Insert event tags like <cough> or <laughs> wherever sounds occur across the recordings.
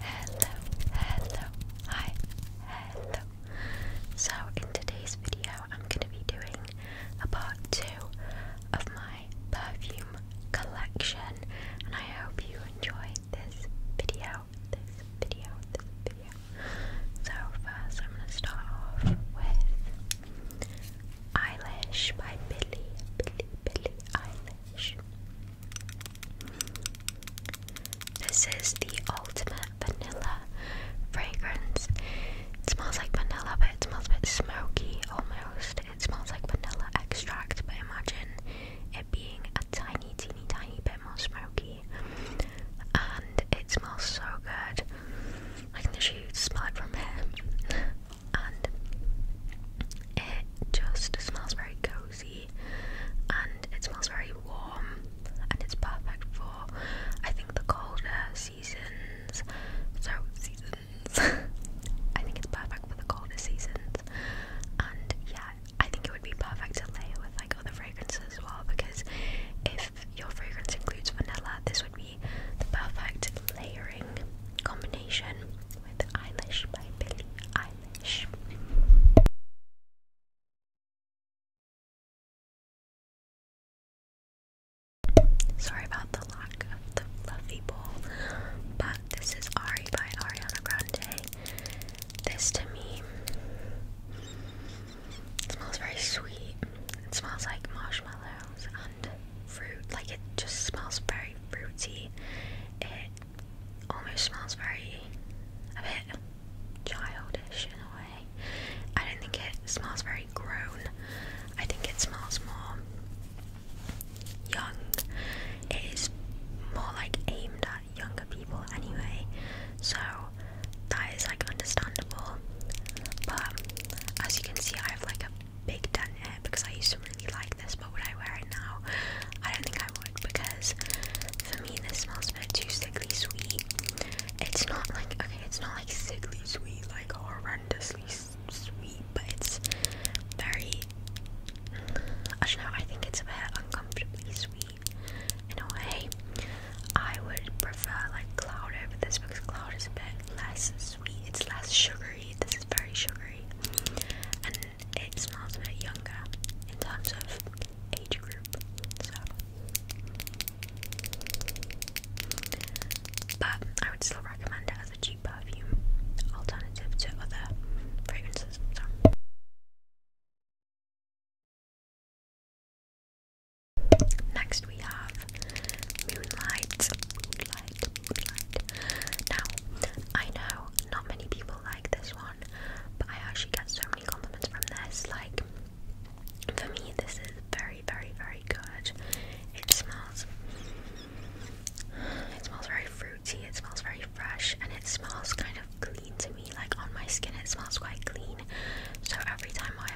Hello, hello, hi, hello. So, in today's video, I'm going to be doing a part two of my perfume collection, and I hope you enjoy this video. This video, this video. So, first, I'm going to start off with Eyelash by Billy, Billy, Billy Eilish. This is the ultimate vanilla fragrance. It smells like vanilla, but it smells a bit smoky almost. It smells like vanilla extract, but imagine it being a tiny, teeny, tiny bit more smoky. And it smells so good. I can literally smell it from here. <laughs> and it just smells very cozy and it smells very warm and it's perfect for I think the colder seasons. So seasons. <laughs> I think it's perfect for the colder seasons. And yeah, I think it would be perfect to layer with like other fragrances as well because if your fragrance includes vanilla, this would be the perfect layering combination with Sorry about the lack of the fluffy bowl, but this is Ari by Ariana Grande. This to me smells very sweet. It smells like marshmallows fruit. Like it just smells very fruity. It almost smells very a bit childish in a way. I don't think it smells very grown. I think it smells more young. It is more like aimed at younger people anyway. So that is like understandable. But as you can see I have like a big done hair because I used to really like this, but would I wear it now? I don't think I would because for me this smells a bit too sickly sweet. It's not like okay, it's not like sickly sweet, like horrendously sweet, but it's very. I don't know. I think it's a bit uncomfortably sweet in a way. I would prefer like cloud over this because cloud is a bit less sweet. It's less sugary. This is very sugary, and it smells a bit younger in terms of age group. So, but I would still recommend it as a cheap perfume alternative to other fragrances. Next we have Moonlight. Now, I know not many people like this one, but I actually get so many compliments from this. Like, for me, this is very, very, very good. It smells. It smells very fruity. It smells very fresh, and it smells kind of clean to me. Like on my skin, it smells quite clean. So every time I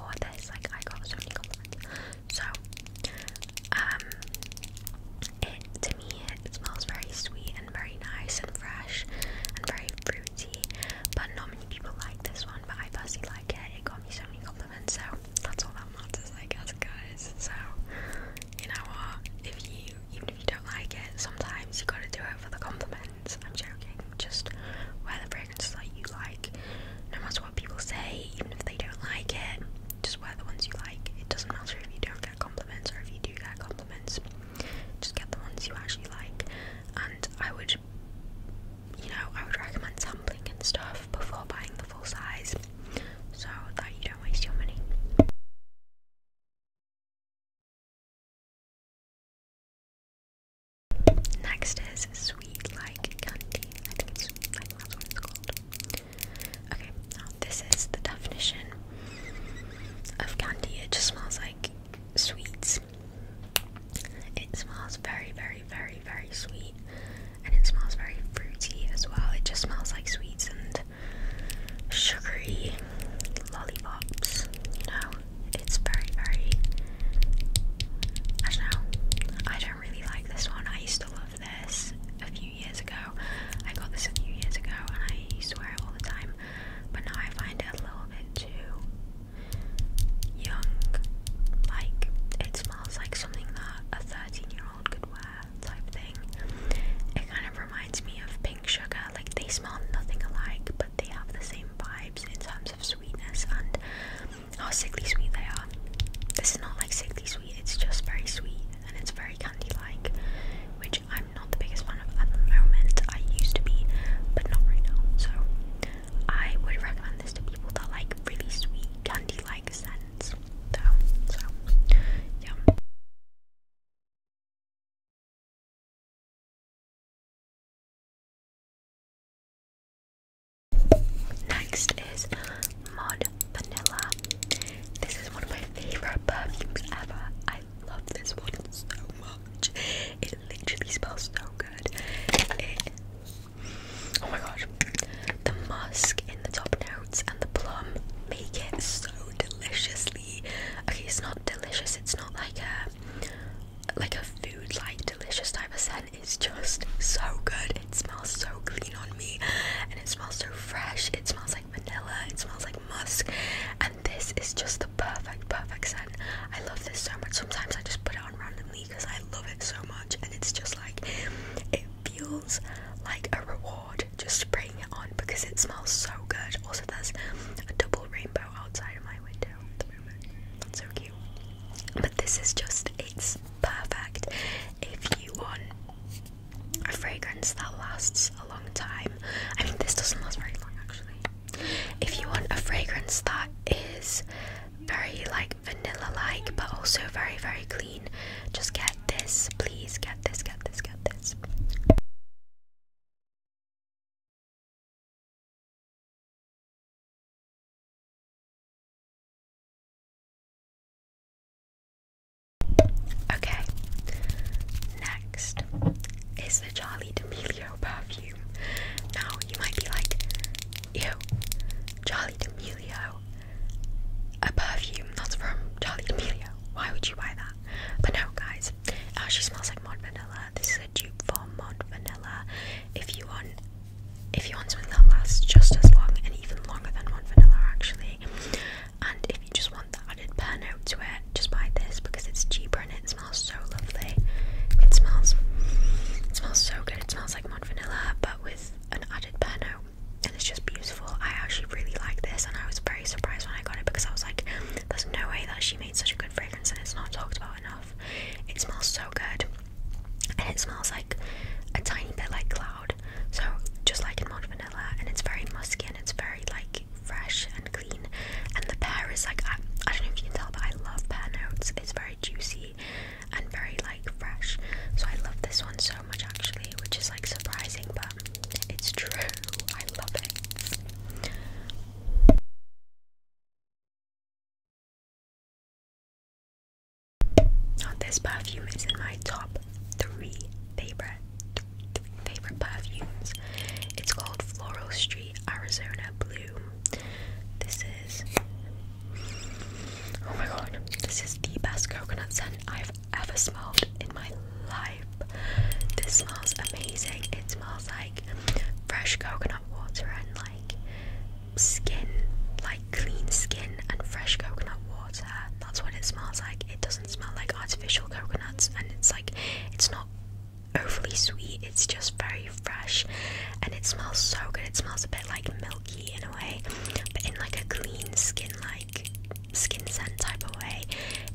wore this, like I got so many compliments. So, um, it to me it smells very sweet and very nice and fresh and very fruity. But not many people like this one, but I personally like it. It got me so many compliments, so that's all that matters, I guess, guys. So you know what? If you even if you don't like it, sometimes you gotta do it for the compliments. I'm joking. Just wear the fragrances that you like, no matter what people say, even if they don't like it. Just wear the ones you like. It doesn't matter if you don't compliments, or if you do get compliments, just get the ones you actually like. And I would, you know, I would recommend sampling and stuff before buying the full size so that you don't waste your money. Next is sweet like candy. I think it's sweet like that's what it's called. Okay, this is the definition of candy. It just smells like sweets. It smells very, very, very, very sweet, and it smells very fruity as well. It just smells like sweets and sugary lollipops. You know, it's very, very. I don't know. I don't really like this one. I used to love this a few years ago. I got this a few years ago and I used to wear it all the time, but now I find it a little bit too young. Like, it smells like something that a 13 year old could wear, type thing. It kind of reminds me of pink sugar. Like, they smell nothing alike, but they have the same vibes in terms of sweetness and how sickly sweet they are. This is not like sickly sweet, it's just very sweet and it's very candy like, which I'm not the biggest fan of at the moment. I used to be, but not right now. So I would recommend this to people that like really sweet candy like scents, though. So yeah. Next is Mod Vanilla. This is one of my favorite perfumes ever. I love this one so much. It literally smells so good. oh my gosh. The musk in the top notes and the plum make it so deliciously. Okay, it's not delicious. It's not like a like a food like delicious type of scent. It's just so good. It smells so clean on me and it smells so fresh. It smells like vanilla, it smells like musk, and this is just the perfect, perfect scent. I love this so much. Sometimes I just put it on randomly because I love it so much, and it's just like it feels like a reward just spraying it on because it smells so good. Also, there's a double rainbow outside of my window That's so cute. But this is just it's perfect if you want a fragrance that lasts a long time. I mean, this doesn't last very long actually. If you want a fragrance that is very like vanilla like but also very, very clean, just get this. Please get this, get this, get this. Okay, next is the Charlie D'Amelio perfume. Now you might be like, ew, Charlie D'Amelio, a perfume that's from Charlie D'Amelio. Why would you buy that? But no, guys, it actually smells like Mod Vanilla. This is a dupe for Mod Vanilla. If you want, if you want something that lasts just as long and even longer than Mod Vanilla, actually, and if you just want that added pear note to it, just buy this because it's cheaper and it smells so lovely. It smells, it smells so good. It smells like mod vanilla, but with an added pear note, and it's just beautiful. I actually really like this, and I was very surprised when I got it because I was like, "There's no way that she made such a good fragrance, and it's not talked about enough." It smells so good, and it smells like a tiny bit like cloud so just like in Mont Vanilla, and it's very musky and it's very like fresh and clean. And the pear is like I, I don't know if you can tell, but I love pear notes. It's very juicy and very like fresh. So I love this one so much actually, which is like surprising, but it's true. <laughs> I love it. Now, this perfume is in my top three favorite favorite perfumes. It's called Floral Street Arizona Blue. This is oh my god, this is the best coconut scent I've ever smelled in my life. This smells amazing. It smells like fresh coconut water and like skin, like clean skin and fresh coconut water. That's what it smells like it doesn't smell like artificial coconuts and it's like it's not overly sweet it's just very fresh and it smells so good it smells a bit like milky in a way but in like a clean skin like skin scent type of way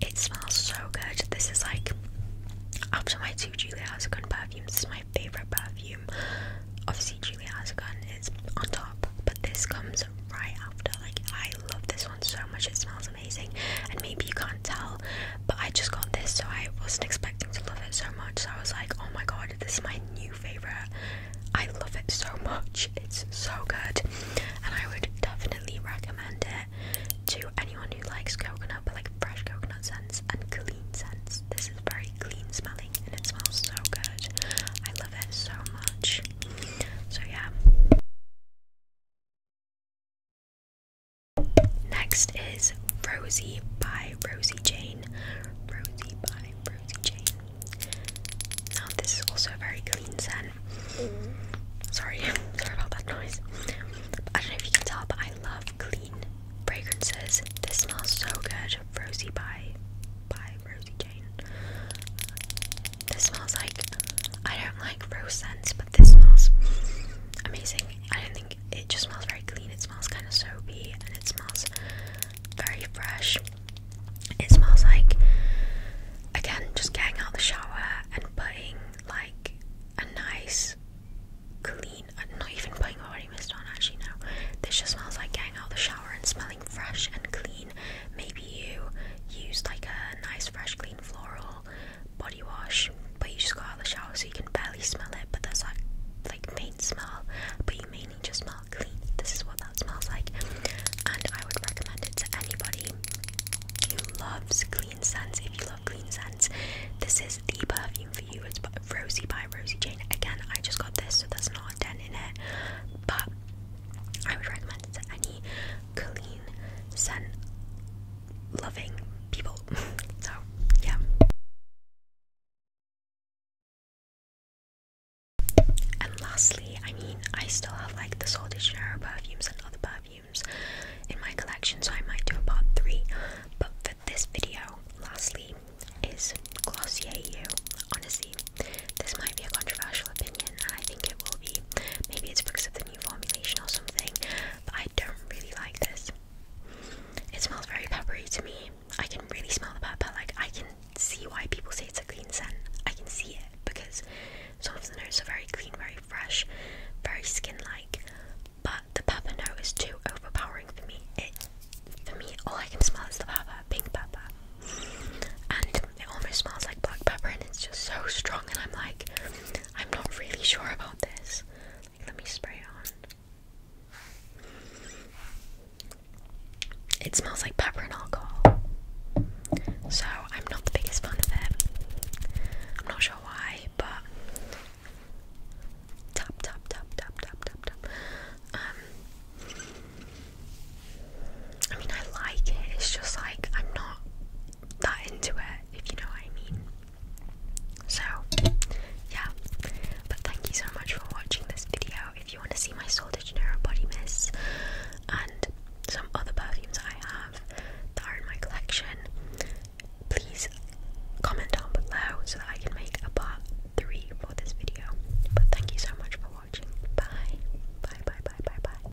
it smells so good this is like after my two Julia Hazegun perfumes this is my favorite perfume obviously Julia Hazegun is on top but this comes right after. Like, I love this one so much, it smells amazing. And maybe you can't tell, but I just got this, so I wasn't expecting to love it so much. So I was like, oh my god, this is my new favorite. I love it so much, it's so good. And I would definitely recommend it to anyone who likes coconut, but like fresh coconut scents and clean scents. This is very clean smelling and it smells so good. I love it so much. So, yeah. Next is Rosie by Rosie Jane. Rosie Jane. Now, this is also a very clean scent. Sorry, <laughs> sorry about that noise. I don't know if you can tell, I love clean fragrances. This smells so good. Rosie by by Rosie Jane. This smells like I don't like rose scents, but this smells amazing. I don't think it just smells very clean. It smells kind of soapy and it smells very fresh. It smells like again just getting out the shower and putting like a nice clean. I'm uh, not even putting body mist on actually. No, this just smells like getting out of the shower and smelling fresh and clean Maybe you used like a nice, fresh, clean floral body wash, but you just got out of the shower so you can barely smell it. But that's like like faint smell, but you mainly just smell clean. This is what that smells like, and I would recommend it to anybody who loves clean scents. If you love clean scents, this is the perfume for you. It's Rosie by Rosie Jane. Again, I just got this, so that's not a dent in it, but I would recommend it to any clean, sun loving people. <laughs> so, yeah. And lastly, I mean, I still have like the Sol de Janeiro perfumes and other perfumes in my collection, so I might do a part 3. But for this video, lastly, is Glossier You. Honestly, this might be a controversial opinion, and I think it will be. Maybe it's because of the new formulation or something, but I don't really like this. It smells very peppery to me. I can really smell the pepper, like, I can see why people say it's a clean scent. I can see it because some of the notes are very clean, very fresh, very skin like, but the pepper note is too overpowering for me. It, for me, all I can smell is the pepper, pink pepper, and it almost smells like tastes like black pepper and it's just so strong and I'm like I'm not really sure about this. Like let me spray it on. It smells like pepper and alcohol. So I'm not the biggest fan of it. I'm not sure why, but tap tap tap tap tap tap tap. Um I mean I like it, it's just like I'm not that into it, if you know what I mean. So, yeah. But thank you so much for watching this video. If you want to see my Sol de body mist and some other perfumes I have that are in my collection, please comment down below so that I can make a part 3 for this video. But thank you so much for watching. Bye. Bye, bye, bye, bye, bye.